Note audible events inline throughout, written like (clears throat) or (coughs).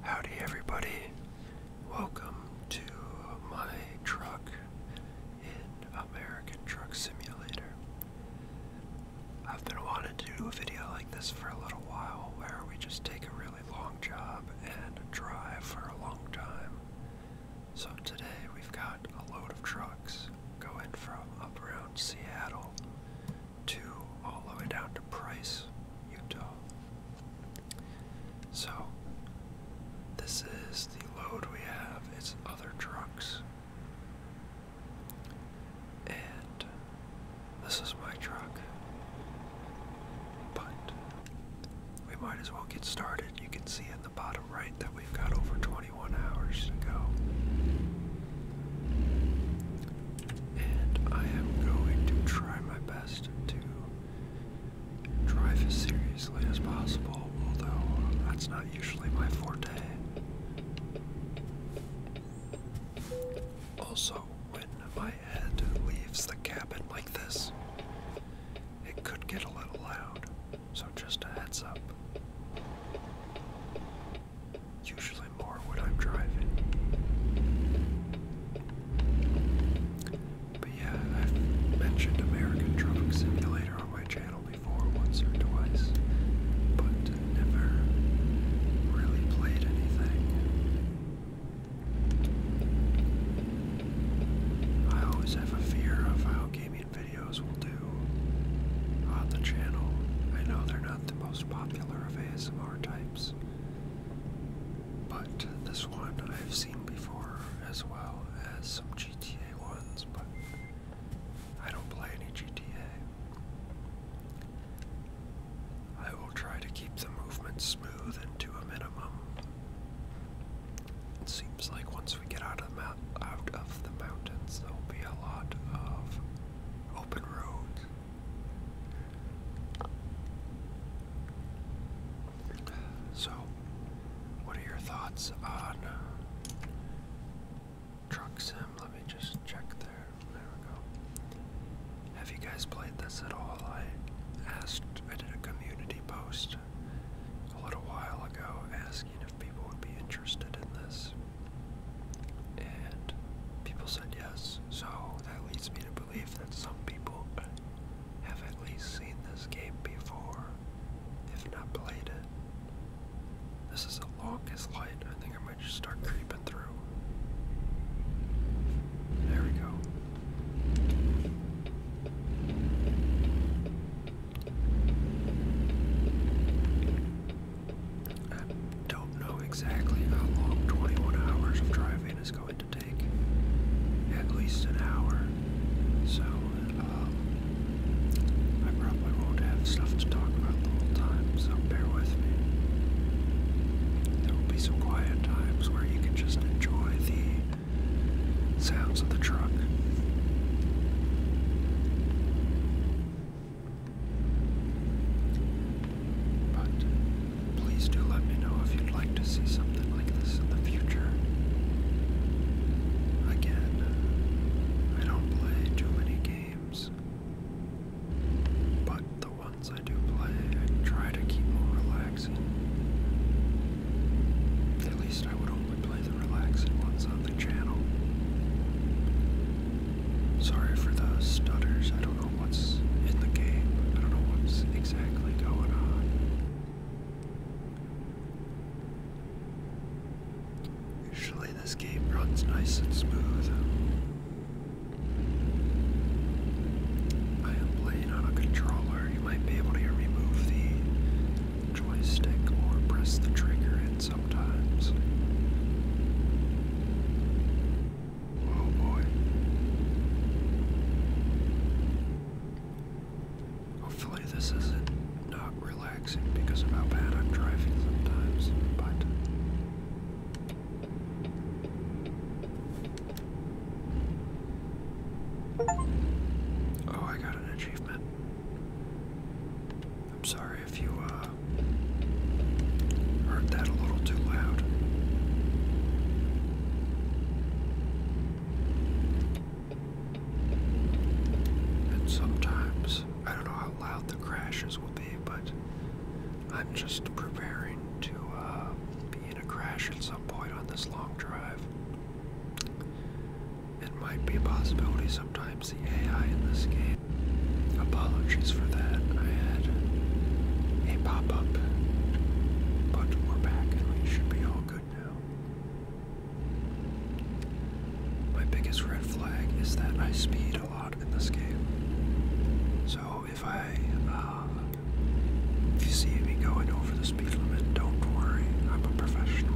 Howdy, everybody. Welcome to my truck in American Truck Simulator. I've been wanting to do a video like this for a little while where we just take a really long job and drive for a long time. So today we've got a load of trucks going from up around Seattle to all the way down to Price, Utah. So, this is the load we have, it's other trucks. And this is my truck. But we might as well get started. You can see in the bottom right that we've got over 21 hours to go and I am going to try my best to drive as seriously as possible, although that's not usually my forte. Also, when my head leaves the cabin like this, it could get a little loud, so just a heads up. Usually, more when I'm driving. But yeah, I've mentioned American Truck Simulator on my channel before once or twice, but never really played anything. I always have a fear of how gaming videos will do on the channel. I know they're not the most popular of ASMR types, but this one I've seen before as well as some GTA ones, but I don't play any GTA. I will try to keep the movement smooth and to a minimum. It seems like once we get out of the, out of the mountains, there will be a lot of open roads. So, what are your thoughts on uh, Truck Let me just check there. There we go. Have you guys played this at all? I asked, I did a community post a little while ago asking if people would be interested in this. And people said yes, so that leads me to believe that some people have at least seen this game before, if not played it. This is the longest light. I think I might just start creeping through. There we go. I don't know exactly how long 21 hours of driving is going to at least an hour. So um, I probably won't have stuff to talk about the whole time, so bear with me. There will be some quiet times where you can just enjoy the sounds of the truck. But please do let me know if you'd like to see something like this in the future. Again, I don't play too many games, but the ones I do play, I try to keep them relaxing. At least I would only play the relaxing ones on the channel. Sorry for the stutters don't know what's in the game. I don't know what's exactly going on. Usually, this game runs nice and smooth. I am playing on a controller. You might be able to hear the joystick or press the trigger in sometimes. Oh boy. Hopefully this isn't not relaxing because of how bad I'm driving sometimes, but Oh, I got an achievement. I'm sorry if you uh heard that a little too loud. And sometimes, I don't know how loud the crashes will be, but I'm just preparing to uh, be in a crash at some point on this long drive. It might be a possibility sometimes the AI in this game. Apologies for that. I had a pop-up. But we're back and we should be all good now. My biggest red flag is that I speed a lot in this game. So if I, uh, if you see me going over the speed limit, don't worry, I'm a professional.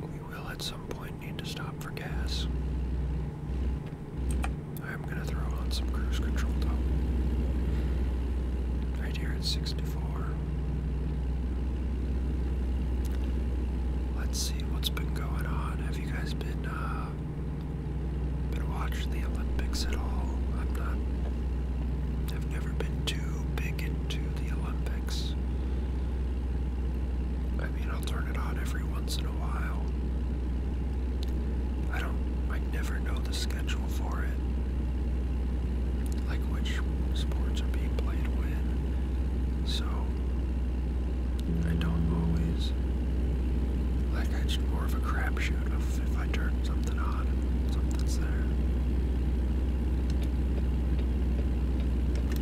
We will at some point need to stop for gas. I'm going to throw on some cruise control though. Right here at 64. Let's see what's been going on. Have you guys been uh been watching the Olympics at all? i have never been too big in to the Olympics. I mean, I'll turn it on every once in a while. I don't, I never know the schedule for it. Like which sports are being played when. So, I don't always. Like, it's more of a crapshoot of if I turn something on something's there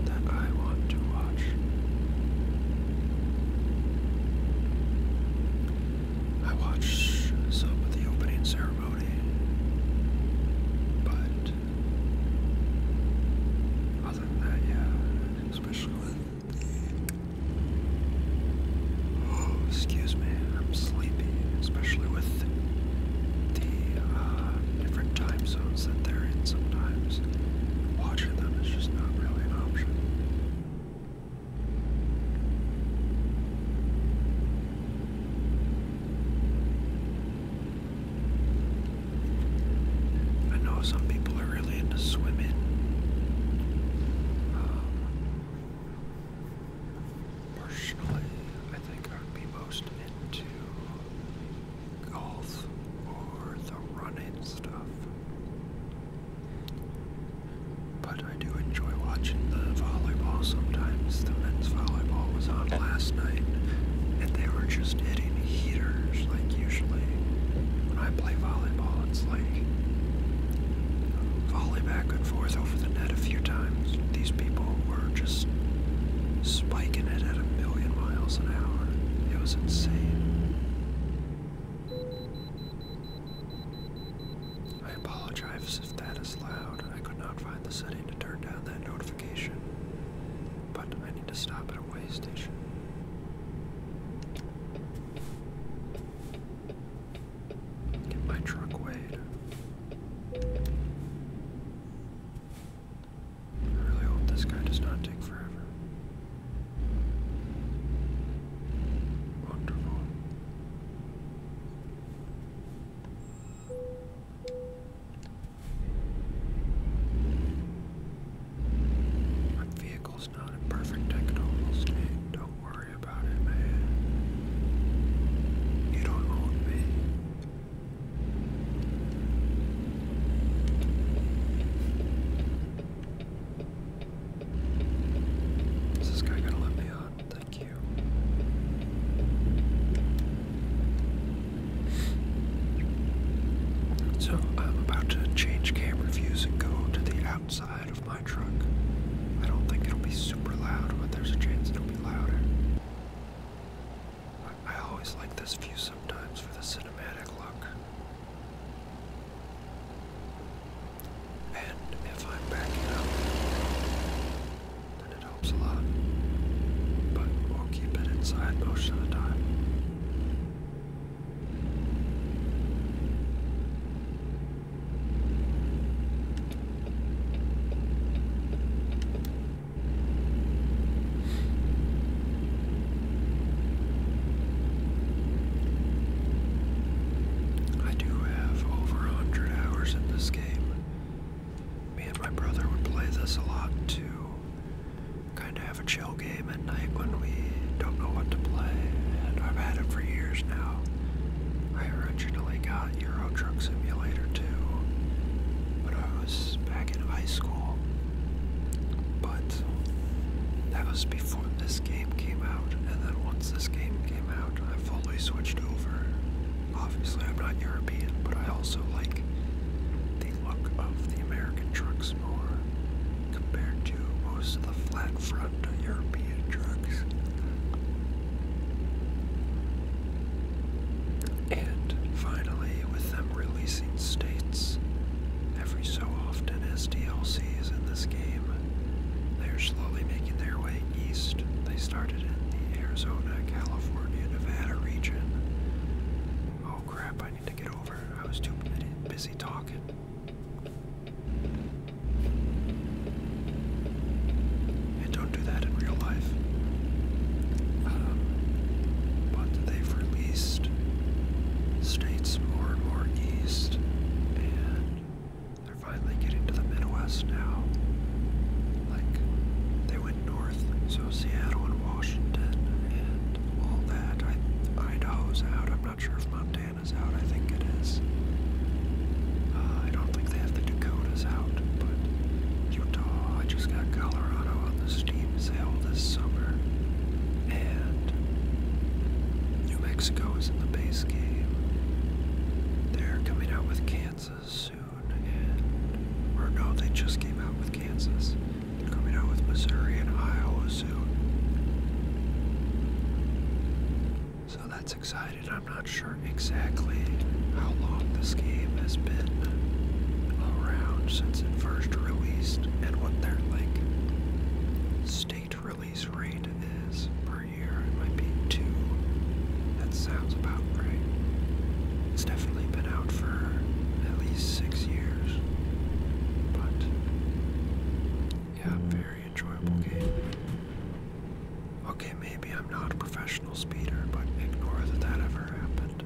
that I want to watch. I watched some of the opening ceremony, but other than that, yeah, especially oh, excuse me, I'm sleepy, especially with the uh, different time zones that they're in sometimes. Watching them is just not really an option. I know some people are really into swimming. Um, Personally, I think I would be most into golf or the running stuff. But I do enjoy watching the volleyball sometimes. The men's volleyball was on last night, and they were just hitting heaters. Like, usually, when I play volleyball, it's like volley back and forth over the net a few times. These people just spiking it at a million miles an hour. It was insane. I apologize if that is loud. I could not find the setting to turn down that notification, but I need to stop at a way station. Get my truck weighed. I really hope this guy does not take forever. Wonderful. My vehicle's not in perfect technical state. Don't worry about it, man. You don't own me. Is this guy gonna let me on? Thank you. So I'm about to change camera views and go to the outside of my truck. I don't think it'll be super loud, but there's a chance it'll be louder. I, always like this view sometimes for the cinematic look. And if I'm backing up, then it helps a lot. But we'll keep it inside most of the time. I do have over a hundred hours in this game. Me and my brother would play this a lot to kind of have a chill game at night when we don't know what to play, and I've had it for years now. I originally got Euro Truck Simulator 2, but I was back in high school. But that was before this game came out, and then once this game came out, I fully switched over. Obviously, I'm not European, but I also like the look of the American trucks more compared to most of the flat front European trucks. And finally, with them releasing states every so often as DLCs in this game, they're slowly making their way east. They started in the Arizona, California, Nevada region. Oh crap, I need to get over. I was too busy talking and don't do that in real life. Um, but they've released states more and more east, and they're finally getting to the Midwest now. Like, they went north, so Seattle and Washington and all that. I, Idaho's out. I'm not sure if Montana's out. I think it is. Uh, I don't think they have the Dakotas out but Utah, I just got Colorado on the steam sale this summer, and New Mexico is in the base game. They're coming out with Kansas soon, and, or no, they just came out with Kansas. coming out with Missouri and Iowa soon. So that's exciting. I'm not sure exactly how long this game has been around since it first released and what their like state release rate is per year. It might be two. That sounds about right. It's definitely been out for at least six years. But yeah, very enjoyable game. Okay, maybe I'm not a professional speeder, but ignore that that ever happened.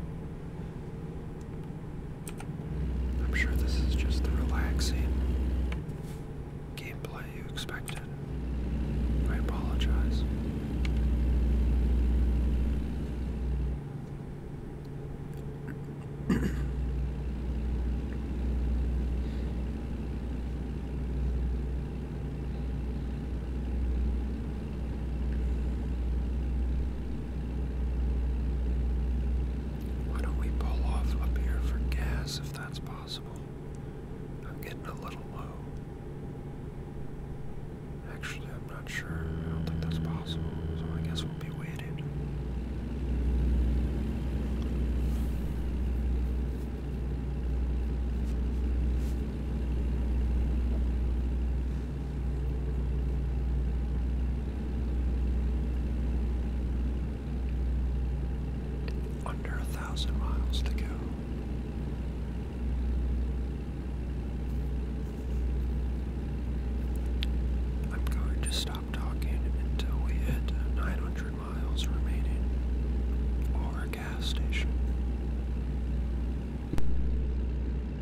I'm sure this is just the relaxing gameplay you expected. I apologize. Why don't we pull off up here for gas if that's possible? I'm getting a little low. Actually, I'm not sure. I don't think that's possible, so I guess we'll be waiting. Under a thousand miles to go. I'm going to stop talking until we hit 900 miles remaining or a gas station.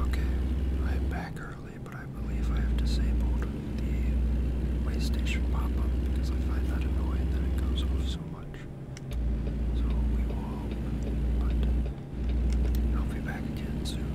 Okay, I'm back early but I believe I have disabled the waystation pop-up because I find that annoying that it goes off so much. So we will hope, I'll be back again soon.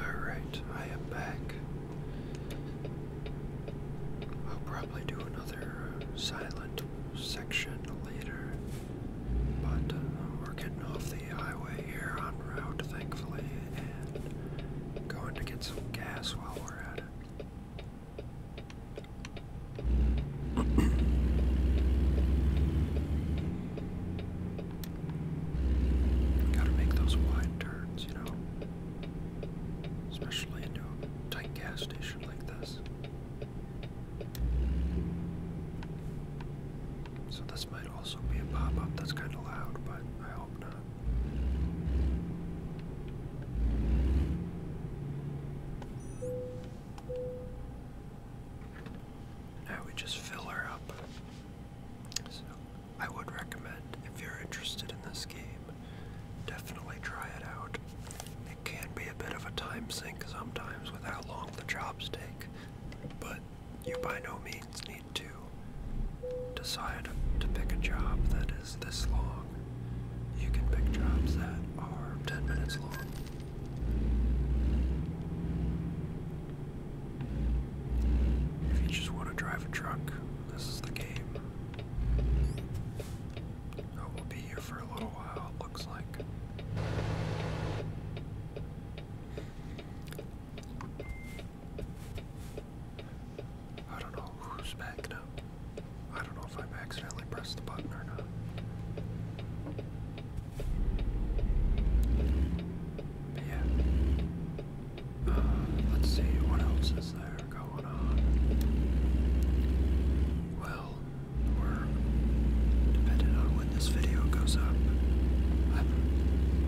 Alright, I am back. I'll probably do another uh, silent section later. But uh, we're getting off the highway here on route, thankfully, and going to get some gas while we're at it. (clears throat) Gotta make those wide turns, you know, especially into tight gas station. So this might also be a pop-up that's kind of loud, but I hope not. Now we just fill her up. So I would recommend if you're interested in this game, definitely try it out it can be a bit of a time sink sometimes with how long the jobs take, but you by no means need to decide to pick a job that is this long. You can pick jobs that are 10 minutes long. If you just want to drive a truck, this is the game who will be here for a little while, it looks like. I don't know who's back now. I don't know if i accidentally pressed the button or not. yeah. Uh, let's see, what else is there going on? Well, or depending on when this video goes up. I'm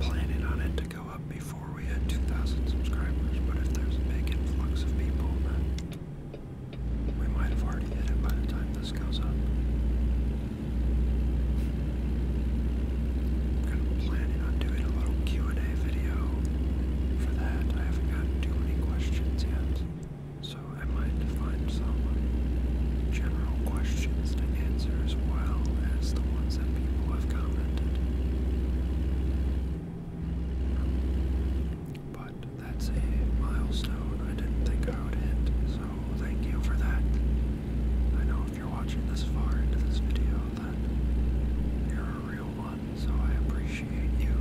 planning on it to go up before we hit 2,000 subscribers, but if there's a big influx of people, then we might have already hit it by the time this goes up. I'm kind of planning on doing a little Q&A video for that. I haven't gotten too many questions yet. So I might find some general questions to answer as well as the ones that people have commented. But that's a milestone I didn't think I would hit, so thank you for that. I know if you're watching this far into this video that you're a real one, so I appreciate you.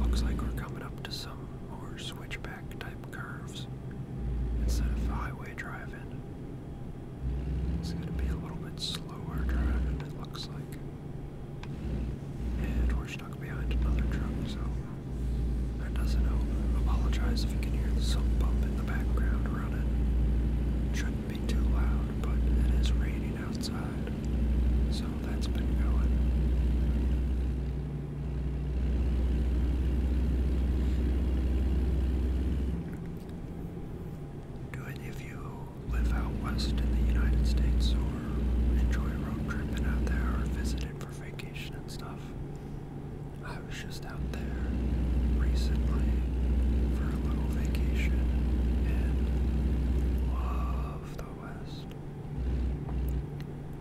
Looks like we're coming up to some more switchback type curves instead of highway driving. It's going to be a little bit slower driving, it looks like. And we're stuck behind another truck, so that doesn't help. Apologize if you can hear the sump bump in the background around it. Shouldn't be too loud, but it is raining outside. So that's been going. Do any of you live out west in the United States or enjoy road tripping out there or visiting for vacation and stuff? I was just out there recently for a little vacation and of the West.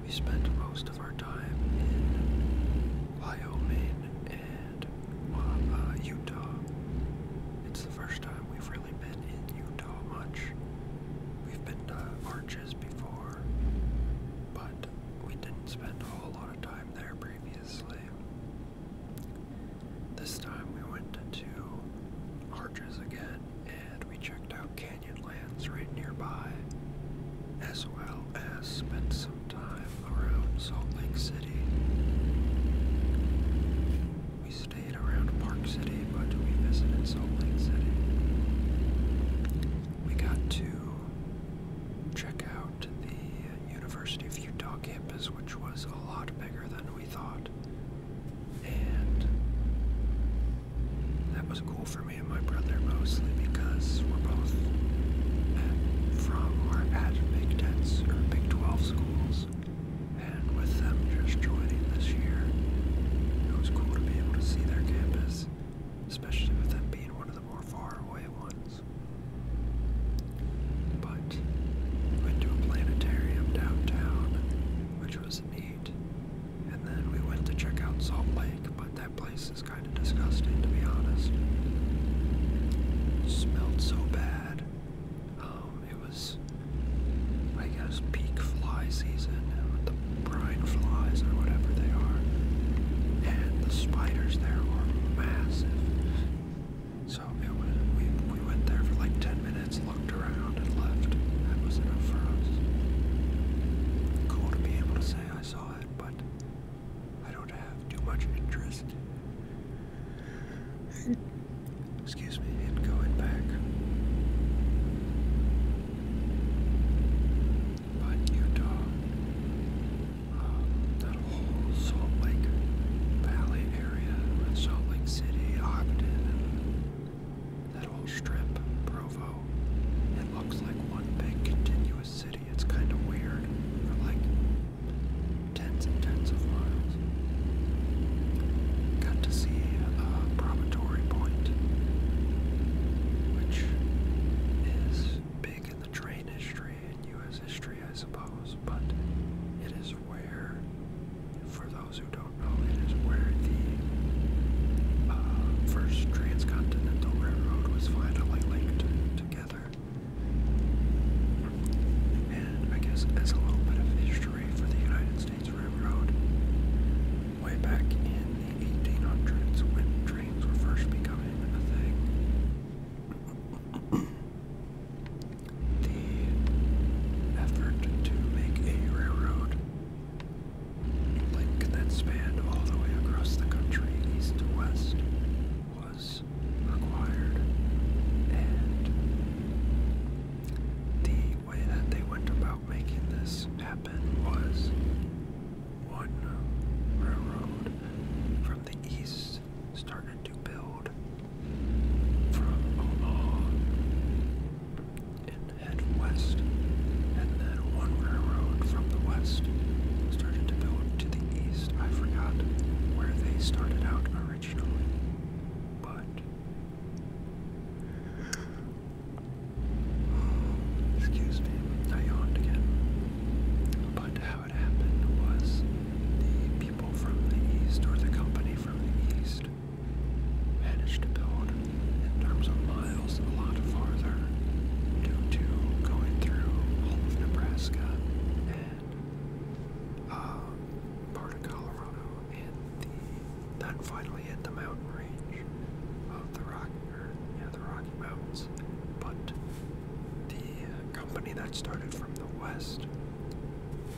We spent most of our time in Wyoming and uh, Utah. It's the first time we've really been in Utah much. We've been to Arches before, but we didn't spend a whole lot of time there previously. This time we went to Arches again and we checked out Canyonlands right nearby, as well as spent some time around Salt Lake City. We stayed around Park City, but we visited Salt Lake City. We got to check out the University of Utah campus, which was a lot bigger than we thought. And that was cool for me and my brother mostly because we're both from or at Big Tens or Big 12 schools. And with them just joining this year, it was cool to be able to see their campus, especially with them being one of the more far away ones. But went to a planetarium downtown which was neat. And then we went to check out Salt Lake, but that place is kind of disgusting to be honest. It smelled so bad. Um, it was, I guess, peak fly season with the brine flies or whatever they are. And the spiders there were massive. So so it we, went there for like 10 minutes, looked around, and left. That was enough for us. Cool to be able to say I saw it, but I don't have too much interest. Excuse me, in going back. But Utah, um, whole Salt Lake Valley area, Salt Lake City, Ogden, that whole strip, Provo, it looks like one big continuous city. It's kind of weird for like tens and tens of miles. Got to see uh, Promontory Point, which is big in the train history in U.S. history, I suppose, but it is where, for the those who don't know, it is where the uh, first transcontinental railroad was finally linked together. And I guess as a little bit of history for the United States Railroad, way back in the 1800s when trains were first becoming a thing, the effort to make a railroad link that spanned all the way across the country, east to west, was required. And the way that they went about making this happen was one railroad from the east started to build from Omaha and head west. And then one railroad from the west started to build to the east. I forgot where they started out originally, but. Excuse me, I yawned again. But how it happened was the people from the east, or the company from the east, managed to build in terms of miles a lot farther due to going through all of Nebraska and uh, part of Colorado and the then finally hit the mountain range of the Rocky or, yeah, the Rocky Mountains. But the company that started from the west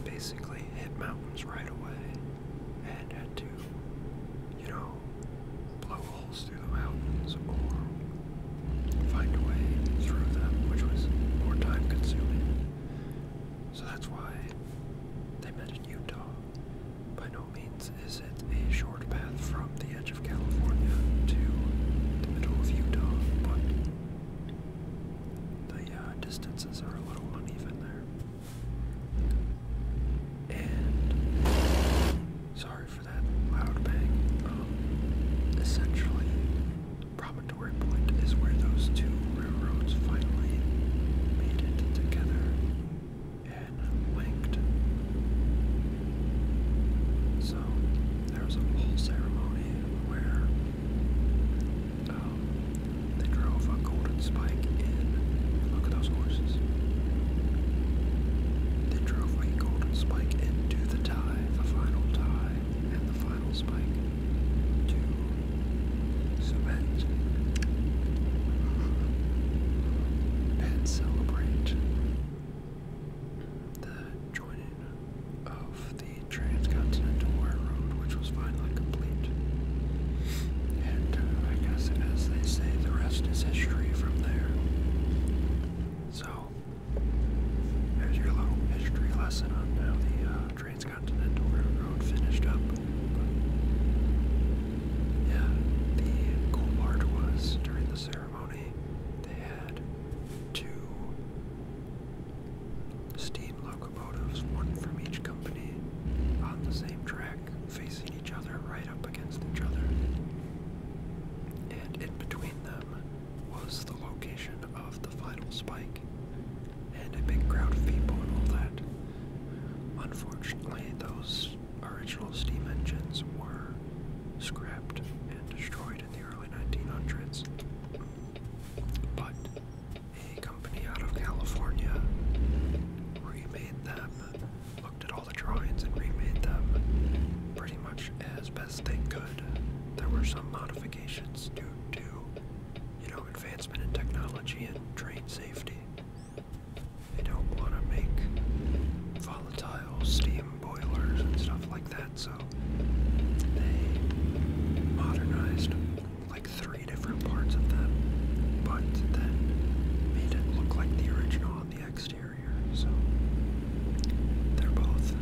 basically hit mountains right away and had to, you know, blow holes through the mountains or find a way through them, which was more time consuming. So that's why they met in Utah. By no means is it a short path from the edge of California to the middle of Utah, but the uh, distances are a little uneven there sorry for that loud bang. Um, essentially, Promontory Point is where those two railroads finally made it together and linked. So there was a whole ceremony where um, they drove a golden spike in. Look at those horses. They drove a golden spike into the tie, the final tie, and the final spike to cement and celebrate the joining of the Transcontinental Railroad, which was finally complete. And uh, I guess, as they say, the rest is history from there. So, there's your little history lesson on how the uh, Transcontinental Railroad finished up. yeah, the cool part was during the ceremony, they had two steam locomotives locomotives, one from each company, on the same track, facing each other, right up against each other. And in between them was the location of the final spike, and a big crowd of people and all that. Unfortunately, those original steam engines were scrapped and destroyed in the early 1900s. But a company out of California remade them, looked at all the drawings and remade them pretty much as best they could. There were some modifications due to, you know, advancement in technology and train safety. They don't want to make volatile steam boilers and stuff like that, so they modernized three different parts of them, but then made it look like the original on the exterior. So they're both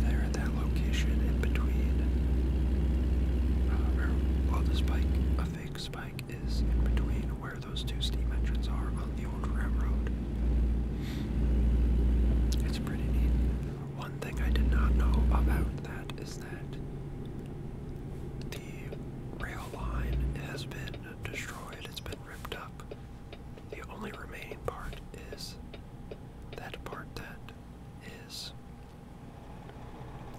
there at that location in between. Uh, the spike, a fake spike, is in between where those two steam engines are on the old railroad. It's pretty neat. One thing I did not know about that is that the rail line has been destroyed, it's been ripped up. The only remaining part is that part that is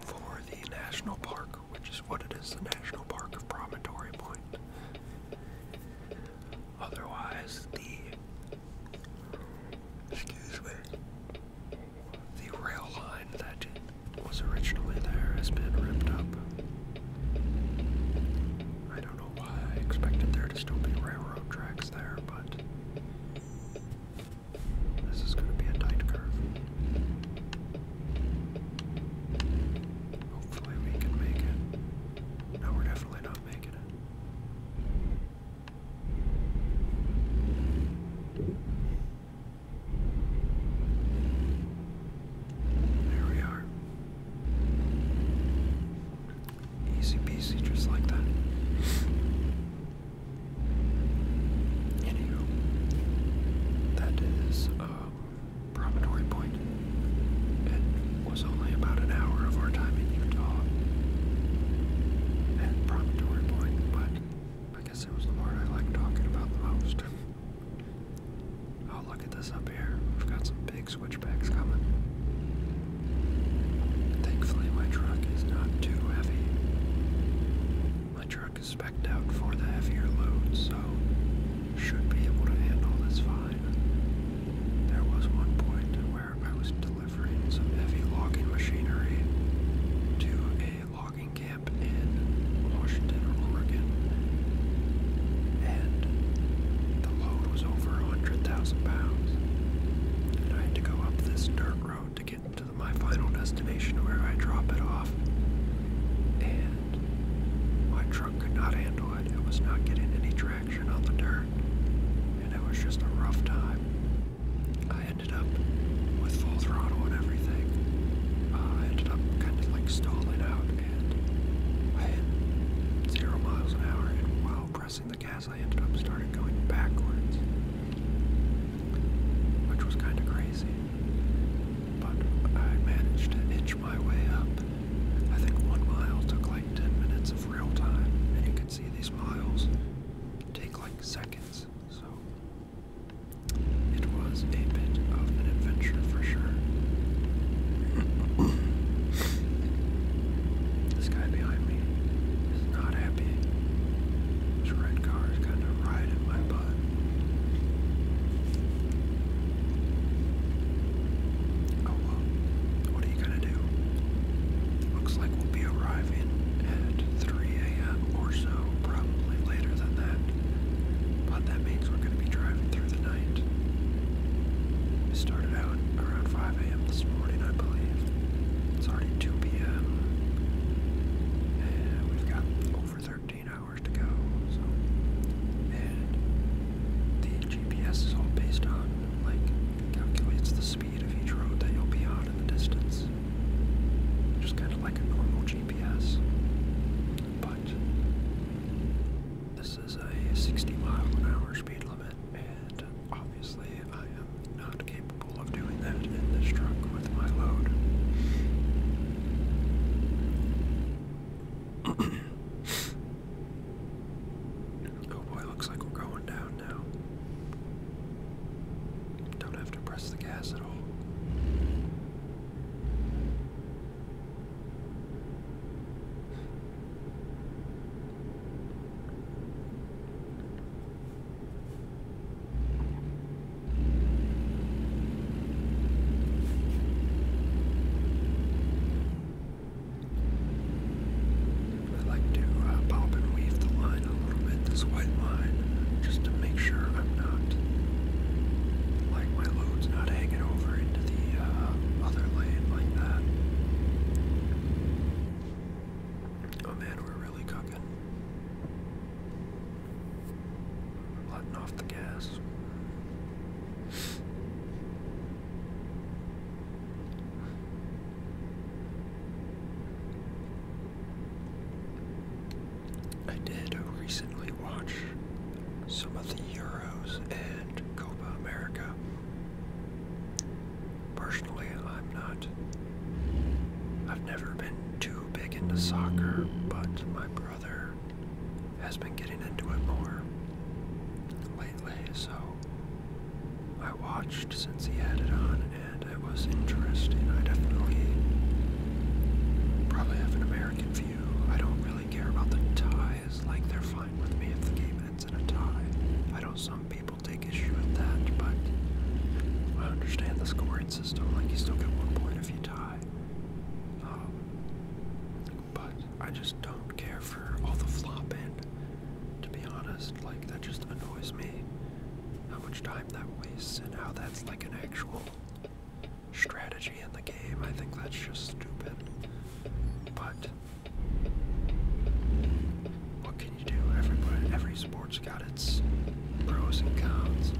for the national park, which is what it is the National Park of Promontory Point. Otherwise, the excuse me the rail line that was originally there has been ripped up. I don't know why expected there to still be railroad tracks there, but this is going to be a tight curve. Hopefully, we can make it. No, we're definitely not making it. There we are. Easy peasy, just like that. Anywho, that is um, Promontory Point. It was only about an hour of our time in Utah at Promontory Point, but guess it was the word I like talking about the most. Oh, look at this up here. We've got some big switchbacks coming. Thankfully, my truck is not too heavy. My truck is specced out for the heavier loads, so should be able to handle this fine. There was one point where I was delivering some heavy logging machinery to a logging camp camp in Washington or Oregon, and the load was over 100,000 pounds. And I had to go up this dirt road to get to my final destination where I drop it off. And my truck could not handle it. It was not getting any traction on the dirt. And it was just a rough time. I ended up with full throttle and everything. Uh, I ended up kind of like stalling out and I hit zero miles an hour. And while pressing the gas, I ended up starting going backwards, which was kind of crazy. But I managed to inch my way up. I think one mile took like 10 minutes of real time, and you can see these miles take like seconds. So it was a bit of an adventure for sure. (coughs) this guy behind me is not happy. This red car is kind of riding my butt. Oh well, what are you gonna do? Looks like we'll be arriving at 3 a.m. so, probably later than that. But that means we're going to be driving through the night. We started out around 5 a.m. this morning, I believe. It's already 2 p.m. And we've got over 13 hours to go. So, and the GPS is all based on like calculates the speed of each road that you'll be on in the distance just kind of like a normal GPS. But this is a 60 mile an hour speed limit, and obviously I am not capable of doing that in this truck with my load. (coughs) oh boy, looks like we're going down now. Don't have to press the gas at all. I like to uh, pop and weave the line a little bit this white line just to make sure I'm not, like my load's not hanging over into the uh, other lane like that. Oh man, we're really cooking. Letting off the gas. I did recently watch some of the Euros and Copa America. Personally, I'm not. I've never been too big into soccer, but my brother has been getting into it more lately, so I watched since he had it on and it was interesting. I definitely probably have an American view. I don't really care about the ties, like they're fine with me if the game ends in a tie. I know some people take issue with that, but I understand the scoring system. Like you still get one point if you tie. Um, but I just don't care for all the flop flopping. To be honest, like that just annoys me. How much time that wastes and how that's like an actual strategy in the game. I think that's just stupid. But what can you do? Everybody, every sport's got its pros and cons.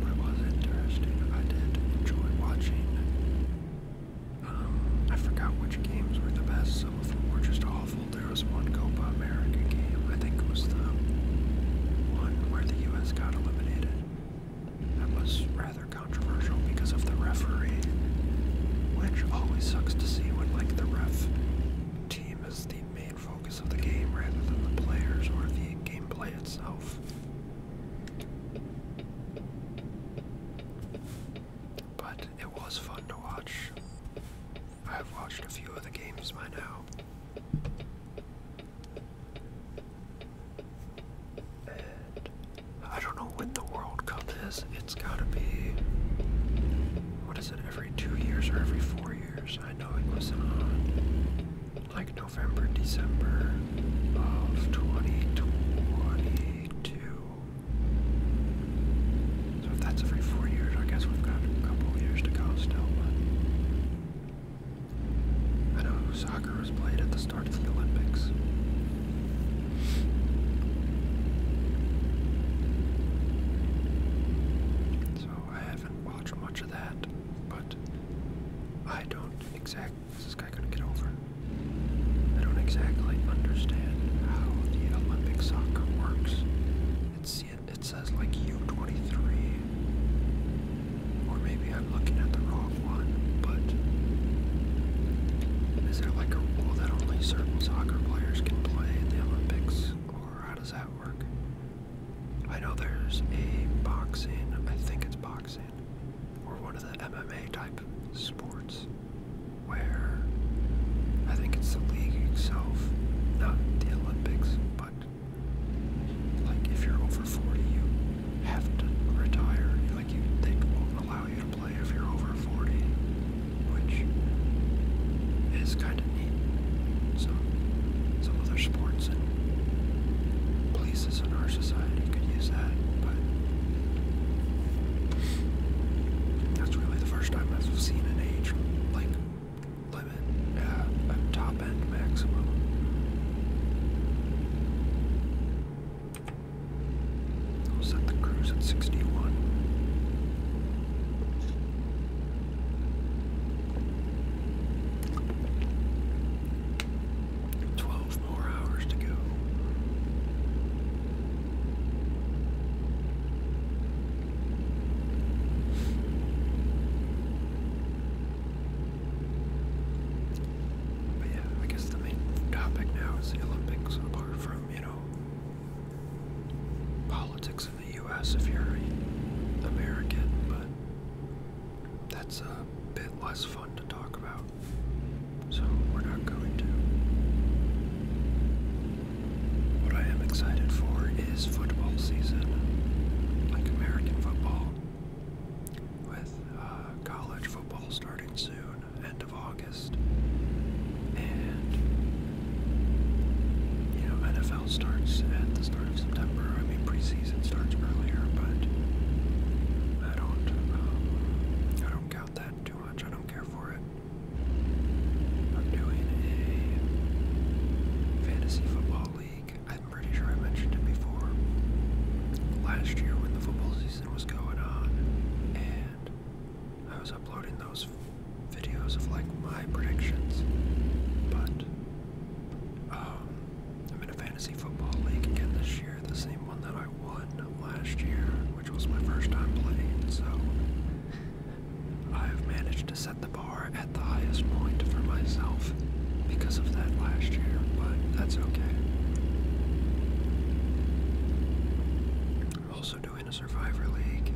But it was interesting. I did enjoy watching. Um, I forgot which games were the best. Some of them were just awful. There was one Copa America game. I think it was the one where the U.S. got eliminated. That was rather controversial because of the referee, which always sucks to see when, like, the ref team is the main focus of the game rather than the players or the gameplay itself. But it was fun to watch. I've watched a few of the games by now. And I don't know when the World Cup is. It's gotta be. What is it, every two years or every four years? I know it wasn't on like November, December of 2022. So if that's every four years, I guess we've got a couple years to go still. But I know soccer was played at the start of the Olympics. So I haven't watched much of that, but I don't exactly this guy gonna get over? I don't exactly understand how the Olympic soccer works. It's, it, it says like U23, or maybe I'm looking at the wrong one, but is there like a rule that only certain soccer players can play in the Olympics, or how does that work? I know there's a boxing, I think it's boxing or one of the MMA type sports where I think it's the league itself, not the Olympics, but like if you're over 40, you have to retire. Like you, they won't allow you to play if you're over 40, which is kind of neat. So some other sports and in our society could use that, but that's really the first time I've seen an age like limit, uh, a top end maximum. I'll set the cruise at 61. 12 more hours to go. But yeah, I guess the main topic now is the Olympics, apart from, you know, politics in the U.S. if you're an American, but that's a bit less fun to talk about. So we're not going to. What I am excited for is football season, like American football, with uh, college football starting soon, end of August, and you know NFL starts at the start of September. I mean preseason season starts earlier, but I don't. Uh, I don't count that too much. I don't care for it. I'm doing a fantasy football league. I'm pretty sure I mentioned it before. Last year, when the football season was going on, and I was uploading those videos of like my predictions, but um, I'm in a fantasy football league again this year, the same one that I won last year, which was my first time playing, so I've managed to set the bar at the highest point for myself because of that last year, but that's okay. I'm also doing a Survivor League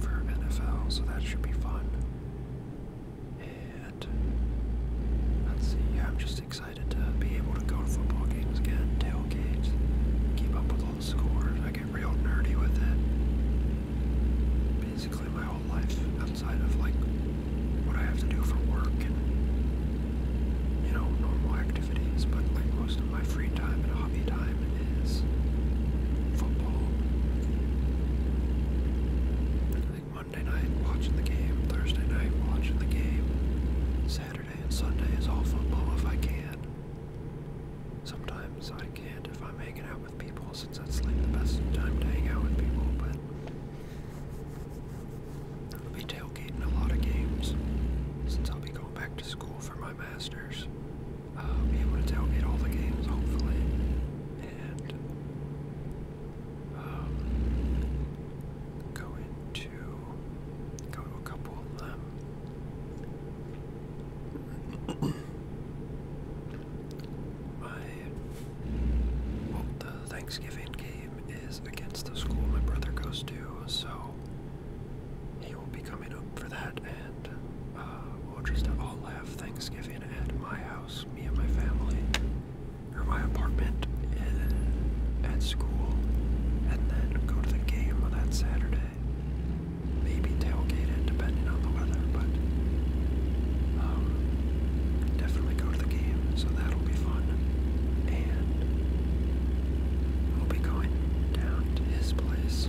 for NFL, so that should be fun and let's see. I'm just excited to be able to go to football games again, tailgates, keep up with all the scores. I get real nerdy with it. Basically, my whole life outside of like what I have to do for work you know normal activities, but like most of my free time and hobby time is football. Monday night watching the game, Thursday night watching the game. Saturday and Sunday is all football if I can. Sometimes I can't if I'm hanging out with people, since that's like the best time to hang out with people, but I'll be tailgating a lot of games. Since I'll be going back to school for my master's, I'll be able to tailgate all the games, hopefully. And um, go into go to a couple of them. (coughs) my well, the Thanksgiving game is against the school my brother goes to, so he will be coming up for that, and uh, we'll just all have Thanksgiving at my house, me and my family or my apartment at school, and then go to the game on that Saturday. Maybe tailgate it, depending on the weather, but um, definitely go to the game, so that'll be fun. And we'll be going down to his place,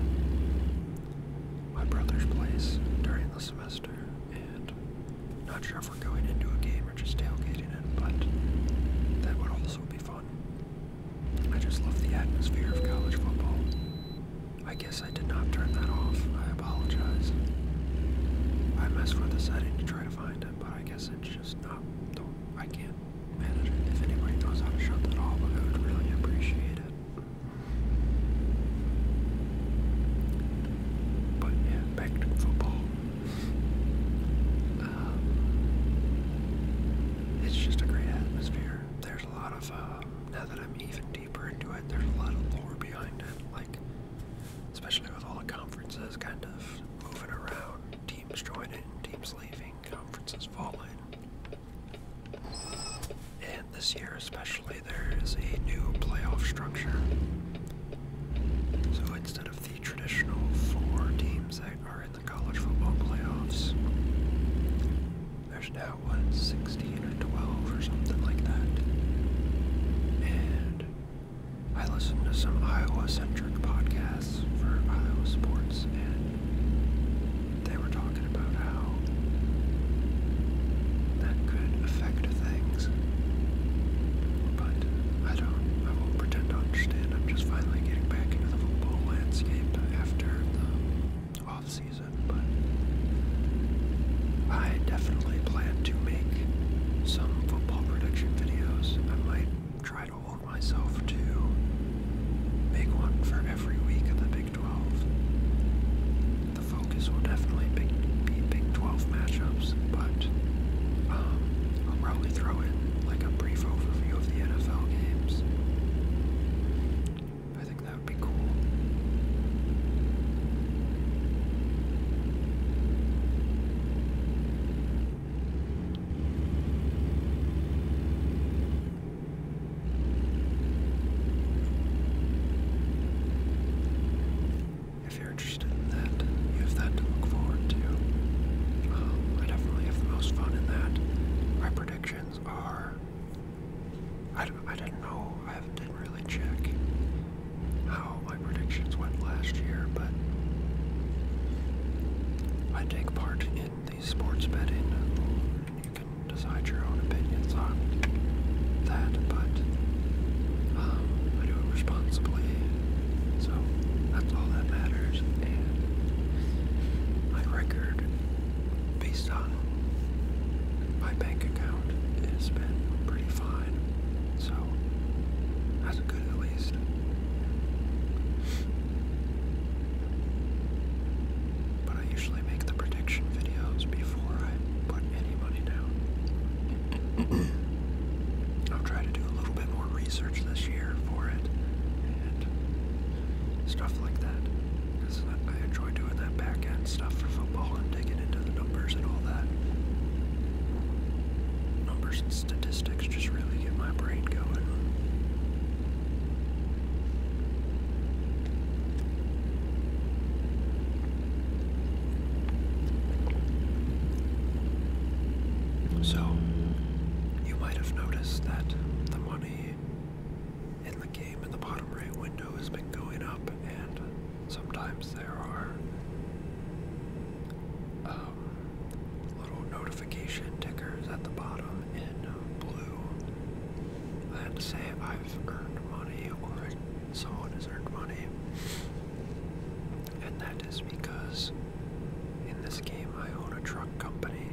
my brother's place, during the semester, not sure if we're going into a game or just tailgating it, but that would also be fun. I just love the atmosphere of college football. I guess I did not turn that off. I apologize. I messed with the setting to try to find it, but I guess it's just not. not I can't manage it. If anybody knows how to shut that off, I would really appreciate it. But yeah, back to football. Um, it's just a great atmosphere. There's a lot of, um, now that I'm even deeper into it, there's a lot of lore behind it. Like, especially with all the conferences kind of moving around, teams joining, teams leaving, conferences falling. And this year, especially, there is a new playoff structure. So instead of the traditional four teams that are in the college football playoffs. There's now, what, 16 or 12 or something like that. And I listened to some Iowa centric podcasts for Iowa sports, and they were talking about how that could affect things but I don't, I won't pretend to understand. I'm just finally getting back into the football landscape after the off-season, but I definitely plan to make some football prediction videos. I might try to hold myself to make one for every week of the Big 12. The focus will definitely be Big 12 matchups, but um, I'll probably throw in like a brief overview of the NFL games. I think that would be cool if you're interested in that, you have that to look forward to. Um, I definitely have the most fun in that. My predictions are. I, didn't know, I didn't really check how my predictions went last year, but I take part in the sports betting. You can decide your own opinions on that, but um, I do it responsibly. So that's all that matters. And my record, based on my bank account, has been pretty fine. So that's a good at least. But I usually make the prediction videos before I put any money down. (clears throat) I'll try to do a little bit more research this year for it and stuff like that. Because I enjoy doing that back end stuff for football and digging into the numbers and all that. Numbers and statistics just really get my brain going. So, you might have noticed that the money in the game in the bottom right window has been going up, and sometimes there are um, little notification tickers at the bottom in blue that say I've earned money or someone has earned money. And that is because in this game, I own a truck company,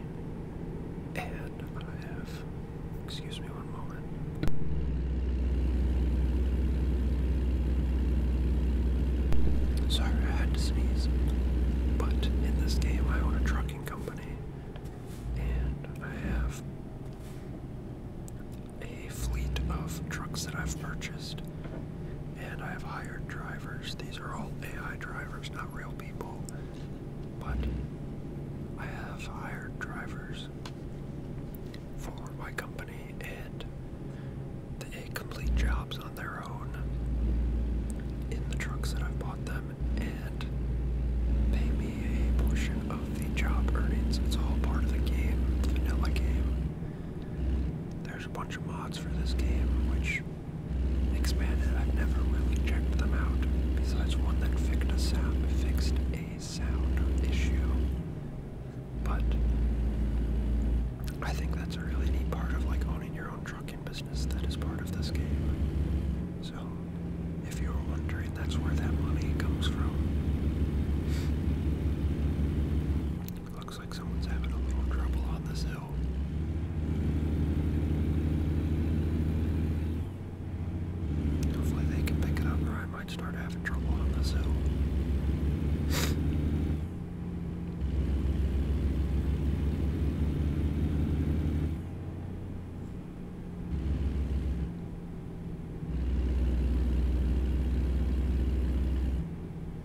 and I have. Excuse me one moment. Sorry, I had to sneeze. But in this game, I own a trucking company, and I have a fleet of trucks that I've purchased and I have hired drivers. These are all AI drivers, not real people, but I have hired drivers for my company and they complete jobs on their own in the trucks that I've bought them and pay me a portion of the job earnings. It's all part of the game, vanilla game. There's a bunch of mods for this game which expanded. I've never really checked them out, besides one that fixed a sound, issue. But I think that's a really neat part of like owning your own trucking business that is part of this game. So if you are wondering, that's where that money comes from. Looks like someone's having a little trouble on this hill. Hopefully they can pick it up or I might start having trouble on this hill.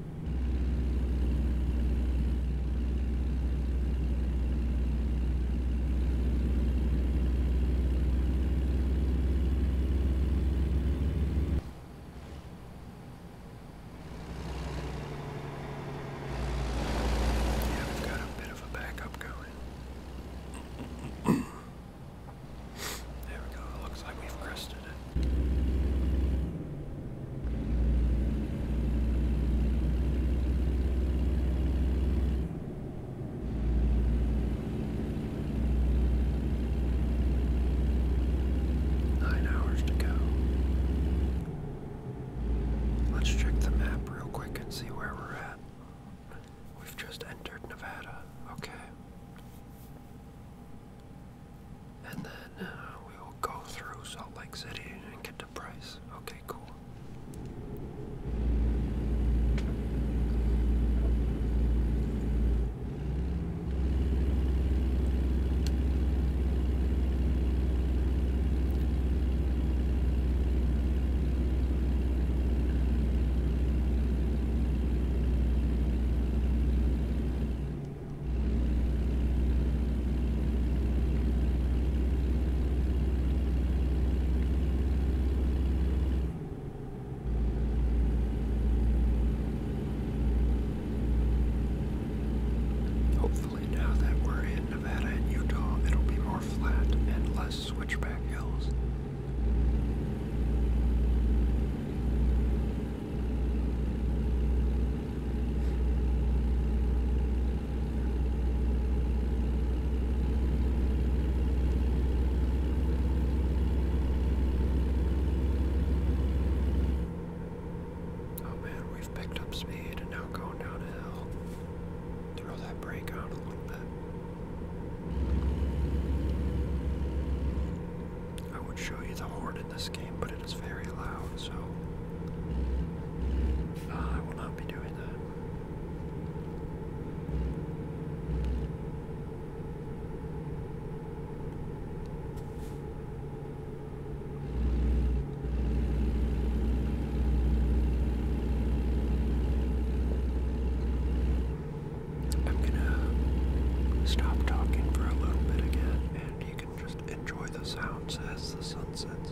Yeah, we've got a bit of a backup going. There we go. It looks like we've crest Nine hours to go. Let's check the map real quick and see where we're at. We've just entered Nevada. Okay. And then uh, we will go through Salt Lake City and get the price. Okay, cool. Hopefully, now that we're in Nevada and Utah, it'll be more flat and less switchback hills. Oh man, we've picked up speed and now going down a hill. Throw that brake out a little bit. I would show you the Hornet in this game, but it is very loud, so uh, I will not be doing that. I'm gonna stop talking for a little bit again, and you just enjoy the sounds as the sun sets.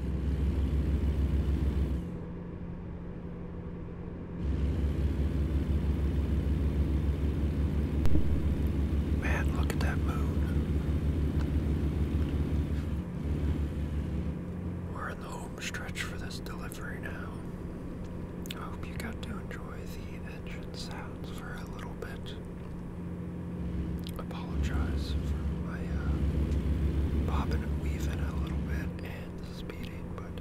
Man, look at that moon. We're in the home stretch for this delivery now. I hope you got to enjoy the engine sounds for a little bit apologize for my uh, bobbing and weaving a little bit and speeding, but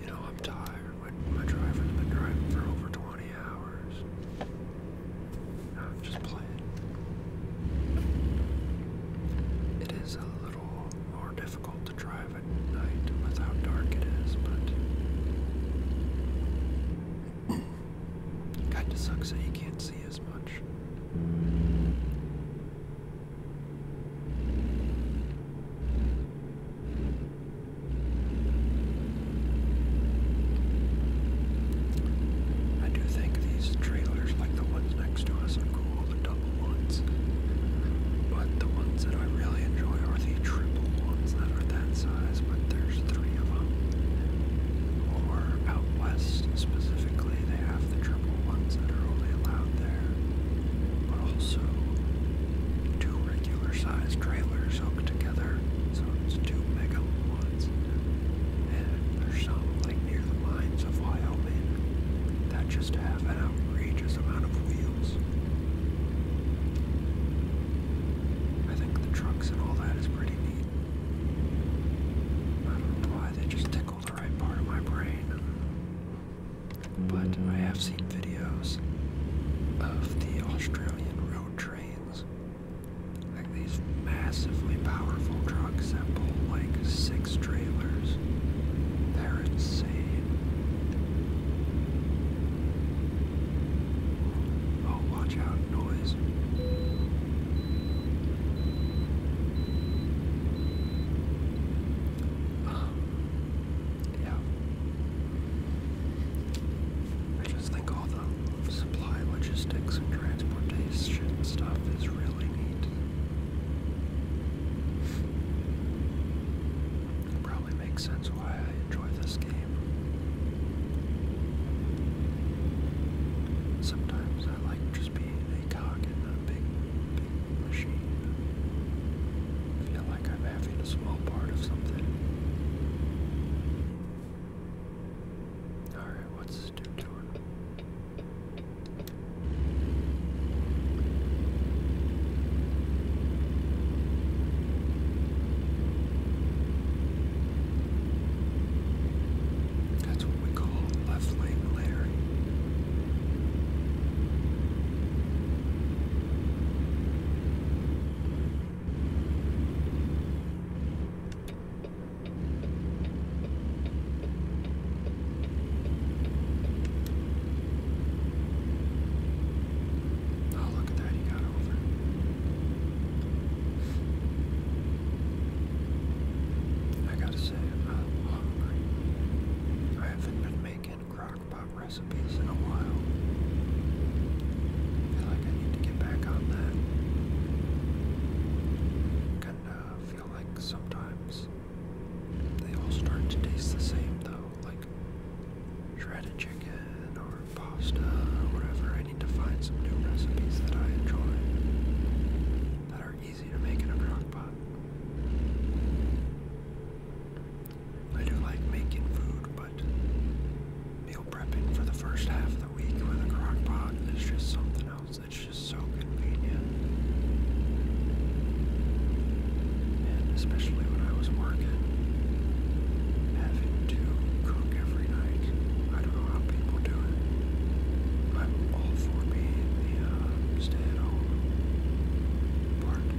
you know, I'm tired. My, my driver been driving for over 20 hours. No, I'm just playing. It is a little more difficult to drive at night without dark it is, but Kinda sucks that you can't see as much. I do think these trailers, like the ones next to us, are cool, the double ones. But the ones that I really enjoy are the triple ones that are that size, but there's three of them or out west specifically, they have the triple ones that are only allowed there, but also two regular sized trailers hooked together, so it's two mega ones. And there's some like near the mines of Wyoming that just have an outrageous amount of wheels. I think the trucks and all that is pretty neat. I don't know why they just tickle the right part of my brain. But I have seen videos of the Australian road trains. Like these massively powerful trucks that pull like six trailers. They're insane. Oh, watch out, noise. (sighs) yeah. I just think all the supply logistics and transportation stuff is really neat. probably makes sense why I enjoy this game. Sometimes I like just being a cog a big, big machine. I feel like I'm having a small part of something. Alright, what's this dude doing? That's what we call left lane layering. Oh, look at that, he got over. I gotta say, I'm hungry. I haven't been making crockpot recipes in a while. feel like I need to get back on that. Kinda feel like sometimes they all start to taste the same though, like shredded chicken or pasta or whatever to find some new recipes that I enjoy that are easy to make in a crock I do like making food, but meal prepping for the first half of the week with a crock pot is just something else. It's just so convenient. And especially when I was working, having to cook every night I don't know how people do it. I'm all for being the uh, stay-at-home part of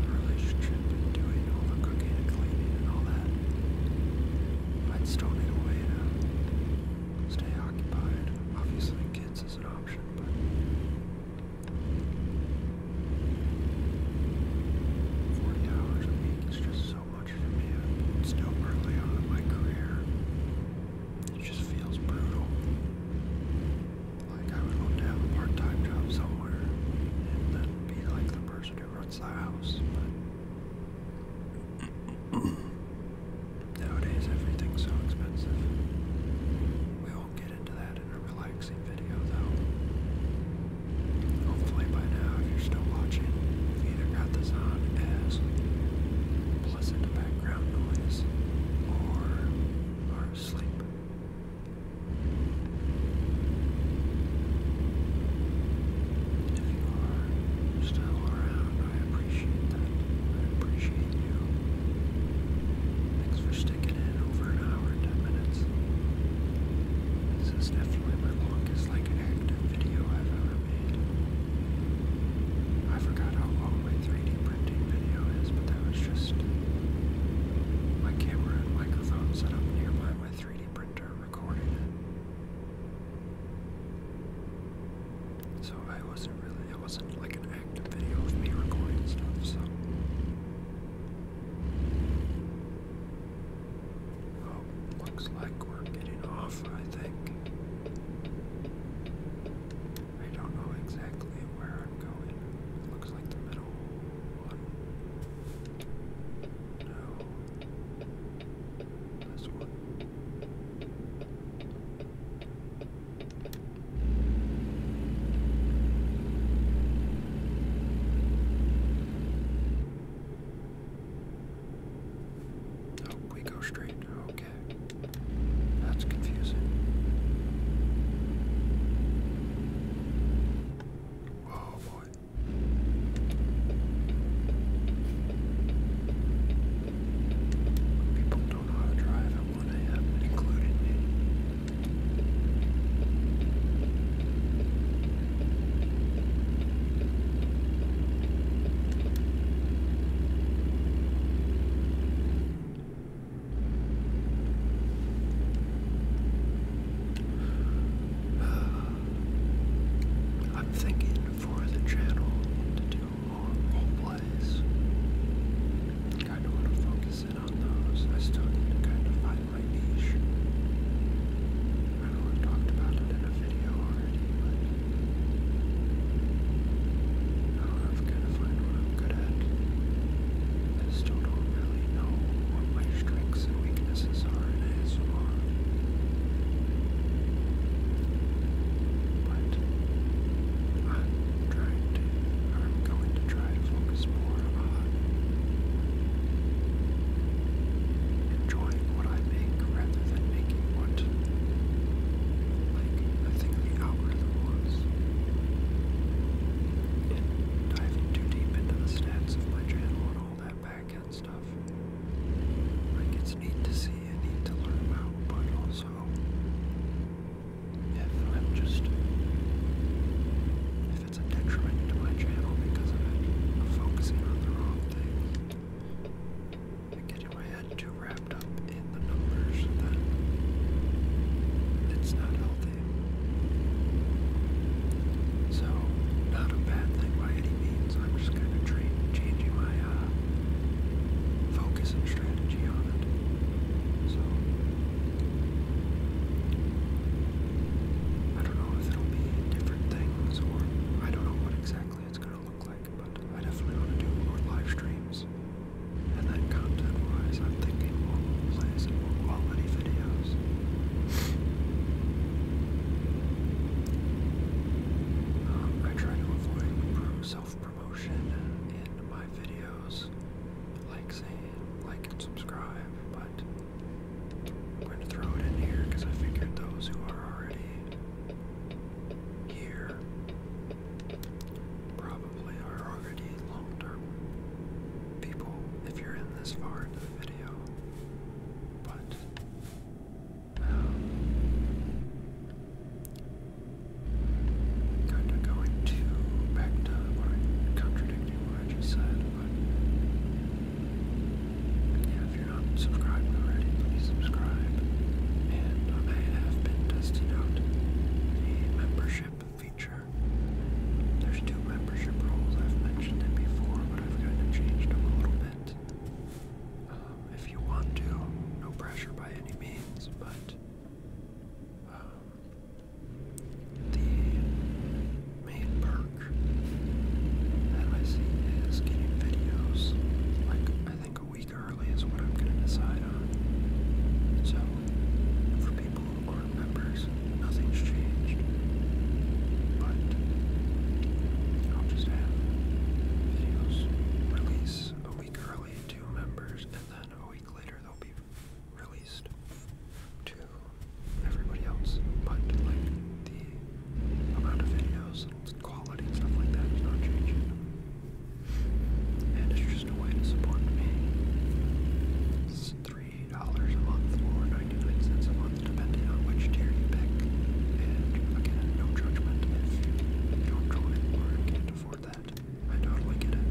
the relationship and doing all the cooking and cleaning and all that. I'd still need a way to stay occupied. Obviously, kids is an option, but. Forty hours a week is just so lucky to be still early on in my career. It just feels brutal. Like I would love to have a part-time job somewhere and then be like the person who runs the house, but (clears throat) nowadays everything's so expensive. We won't get into that in a relaxing video though. Hopefully by now if you're still watching, either got this on as listen background noise or are asleep. If you are still around, I appreciate that. I appreciate you. Thanks for sticking in over an hour and ten minutes. This is definitely my longest like active video I've ever made. I forgot how long my 3D printing video is, but that was just my camera and microphone set up nearby my 3D printer recording it. So I wasn't really, it wasn't like an active video of me recording stuff, so looks like we're getting off, I think. I don't know exactly where I'm going. looks like the middle one. No. This one. Oh, we go straight. Okay. That's confusing. Oh boy. People don't know how to drive at 1 a.m., including me. (sighs) I'm thinking for the channel to do more role plays. I want to focus in on those. I still need to kind of find my niche. I know have talked about it in a video already, but I've gotta find what I'm good at. I still don't really know what my strengths and weaknesses are But I'm trying to, or I'm going to try to focus more on enjoying what I make rather than making what like I think the algorithm was. And diving too deep into the stats of my channel and all that back stuff. Like it's neat to see and neat to learn about, but also if I'm just if it's a detriment to my channel because of it, focusing on the wrong things getting my head too wrapped up in the numbers that it's not healthy. So, not a bad thing by any means. I'm just going kind of changing my uh, focus and strategy on it. So, I don't know if it'll be different things or I don't know what exactly it's going to look like but I definitely want to do more live streams. And then content-wise, I'm thinking more plays and more quality videos. Um, I try to avoid self-promotion in my videos, like saying like and subscribe, but I'm going to throw it in here because I figured those who are already here probably are already long-term people if you're in this far into the video. But um, kind of going to back to contradicting what I just said, but yeah, if you're not subscribed already, please subscribe. And I have been testing out a membership feature. There's two membership roles. I've mentioned it before, but I've kind of changed a little bit. Um, if you want to, no pressure by any means, but um, the main perk that I see is getting videos like I think a week early is what I'm gonna decide on. So, for people who are members, nothing's changed. But I'll just have videos release a week early to members, and then a week later they'll be released to everybody else. But like the amount of videos and quality and stuff like that is not changing. And it's just a way to support me. $3 a month or 99 cents a month, depending on which tier you pick. And again, no judgment if you don't join or can't afford that. I totally get it.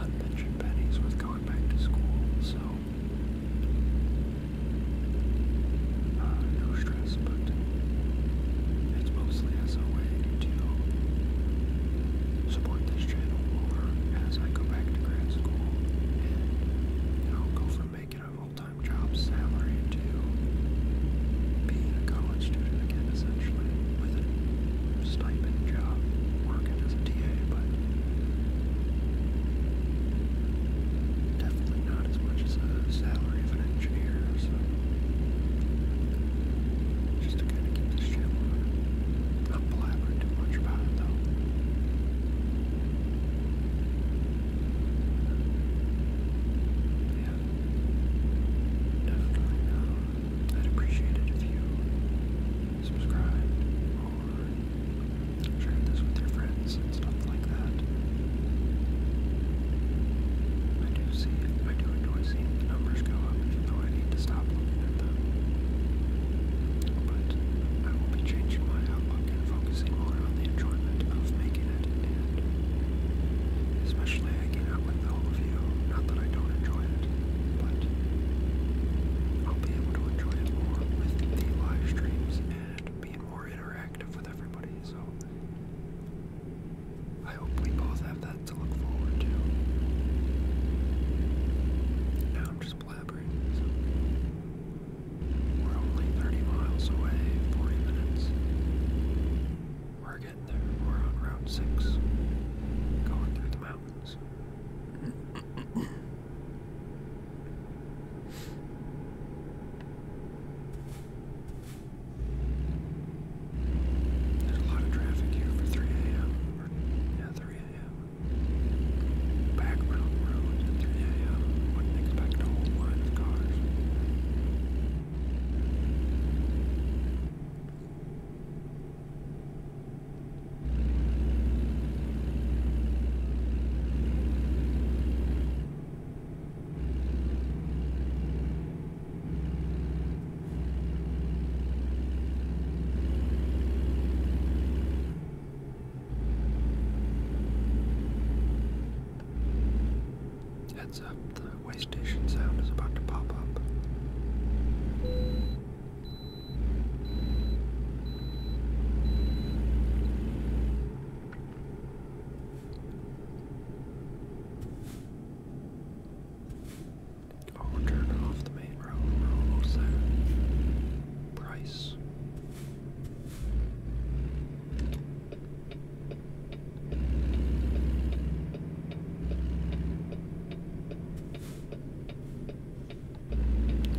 I mentioned pennies with going back to school, so no stress, but it's mostly as a way to support this channel or as I go back to grad school and you know, go from making a full-time job salary to being a college student again, essentially, with a stipend job, working as a TA, but definitely probably not as much as a salary of an engineer, so just to kind of keep this channel on. Not blabbering too much about it, though. Yeah, definitely. I'd appreciate it if you subscribed or shared this with your friends and stuff like that. I do see it. I do enjoy seeing the numbers go up, even though I need to stop looking at them. But I will be changing my outlook and focusing more on the enjoyment of making it, and especially hanging out with all of you. Not that I don't enjoy it, but I'll be able to enjoy it more with the live streams and being more interactive with everybody. So I hope we both have that to look forward to. Now I'm just blabbering. We're only 30 miles away, 40 minutes. We're getting there. We're on Route 6, going through the mountains. There's a lot of traffic here for 3 a.m. Yeah, 3 a.m. Back round roads at 3 a.m. Wouldn't expect a whole line of cars. Heads up, the way station sound is about to pop up. Oh, we're off the main road. We're almost there. Price.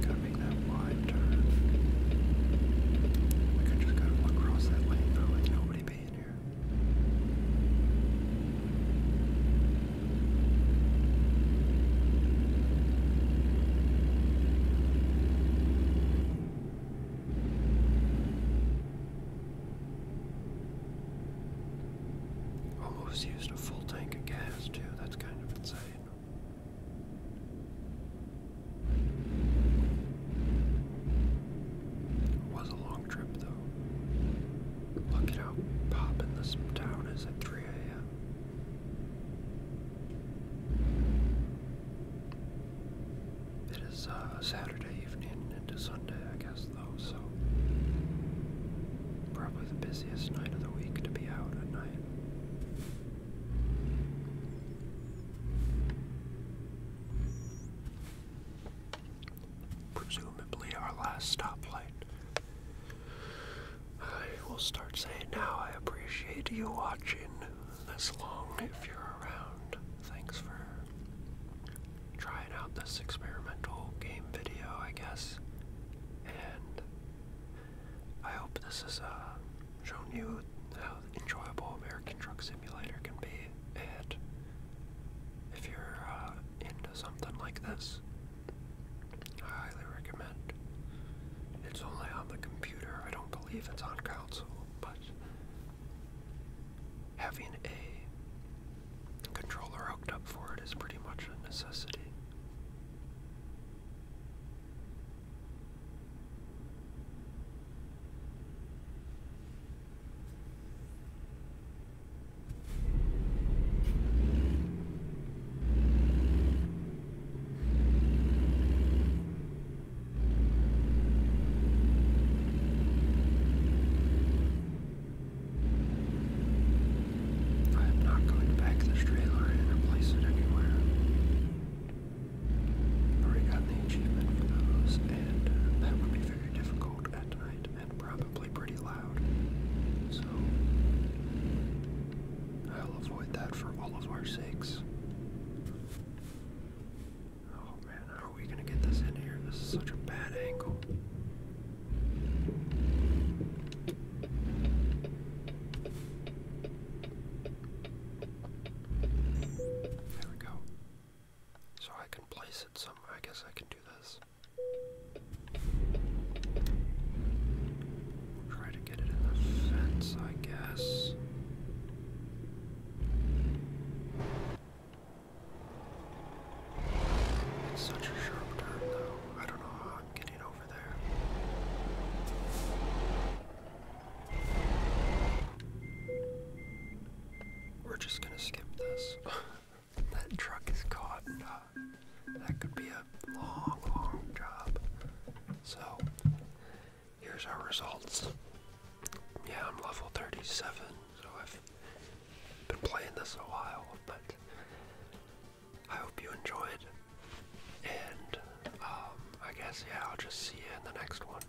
got that wide turn. We could just go across that lane though, like nobody Almost used a full tank of gas, too. That's kind of insane. It was a long trip, though. Look at how poppin' this town is at 3 a.m. It is uh, Saturday evening into Sunday, I guess, though, so probably the busiest night of the week to be out at night. Presumably our last stoplight. I will start saying now I appreciate you watching this long if you're around. Thanks for trying out this experimental game video, I guess. And I hope this has uh, shown you how enjoyable American Truck Simulator can be if you're uh, into something like this. I highly recommend. It's only on the computer. I don't believe it's on console, but having a controller hooked up for it is pretty much a necessity. I am not going to pack this trailer in or it anywhere already gotten the achievement for those, and uh, that would be very difficult at night and probably pretty loud. So I'll avoid that for all of our sakes. Oh man, how are we gonna get this in here? This is such a bad angle. There we go. So I can place it somewhere. I guess I can do this. Try to get it in the fence, I guess. It's such a sharp turn, though. I don't know how I'm getting over there. We're just gonna skip this. (laughs) that truck is caught. And, uh, that could be a long, long job. So, here's our results. Yeah, I'm level 37, so I've been playing this a while, but I hope you enjoyed. And um, I guess, yeah, I'll just see you in the next one.